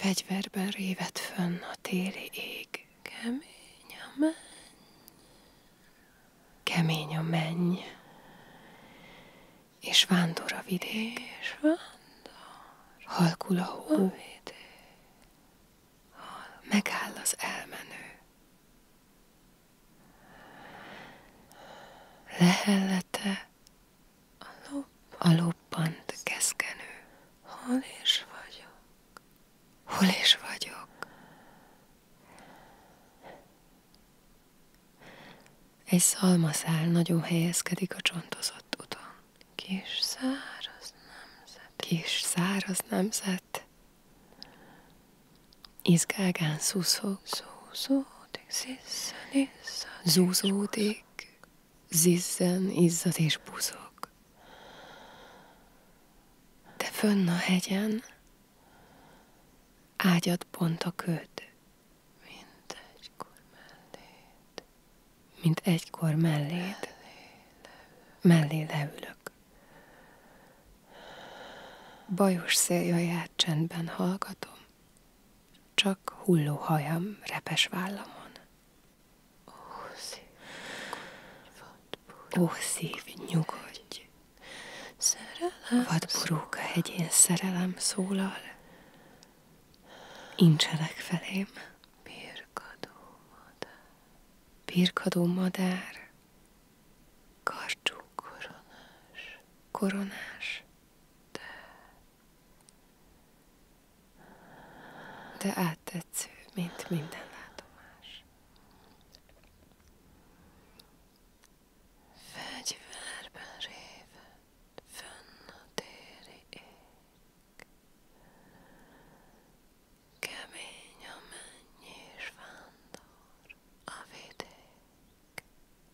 Fegyverben réved fönn a fönn a téli ég. Kemény a menny. Kemény a menny. És vándor a vidék. És vándor. Halkul a hó. A Megáll az elmenő. Lehellete a, lop, a loppant keszkenő. Hol is vagyok? Hol is vagyok? Egy szalmaszál nagyon helyezkedik a csontozott uton. Kis száraz nemzet. Kis száraz nemzet. Izgágán szuszog. Szuszódik sziszeniszak. Zúzódik, zizzen, izzad és buzog. De fönn a hegyen ágyad pont a köd, mint egykor melléd, mint egykor melléd, mellé leülök. Bajos széljaját csendben hallgatom, csak hulló hajam repes vállamon. Ó, szív, nyugodj! Vadboróka hegyén szerelem szólal, incsenek felém. Pirkadó madár. Pirkadó madár. Karcsú koronás. Koronás. Te. De áttetsző, mint minden látomás. Fegyverben réved, fönn a téli ég. Kemény a menny és vándor, a vidék.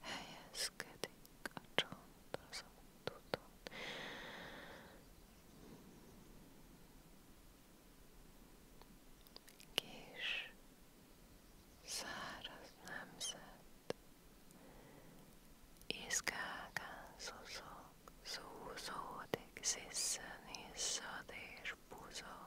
helyezkedik a csont azon tudod. Kis száraz nemzet, izgágán szuszog, szúzódik, sziszen, iszad és buzog.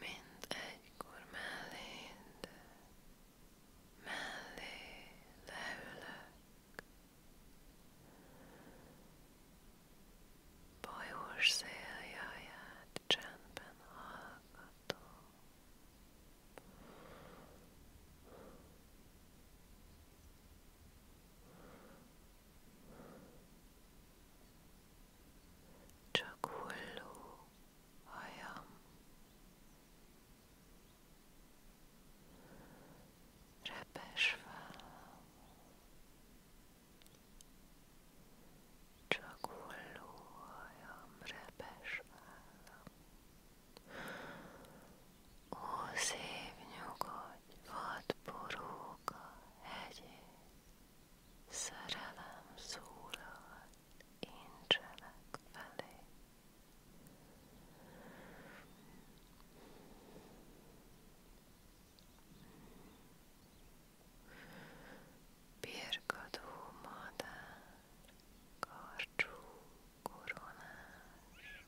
Mint egykor melléd, mellé leülök. Bajós széljaját csendben hallgatom. csak hulló hajam. Repes fel, csak hulló hajam, repes fel. Ó, szép nyugodj, vadború, Unoka hegyén szerelem szólal, én cselek felé. Birkadó madár, karcsú koronás,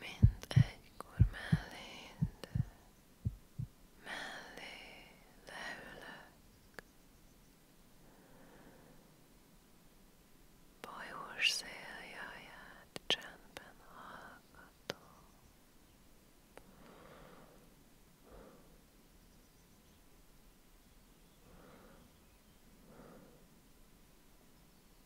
mint egykor melléd, mellé leülök. Bajós széljaját csendben hallgatom.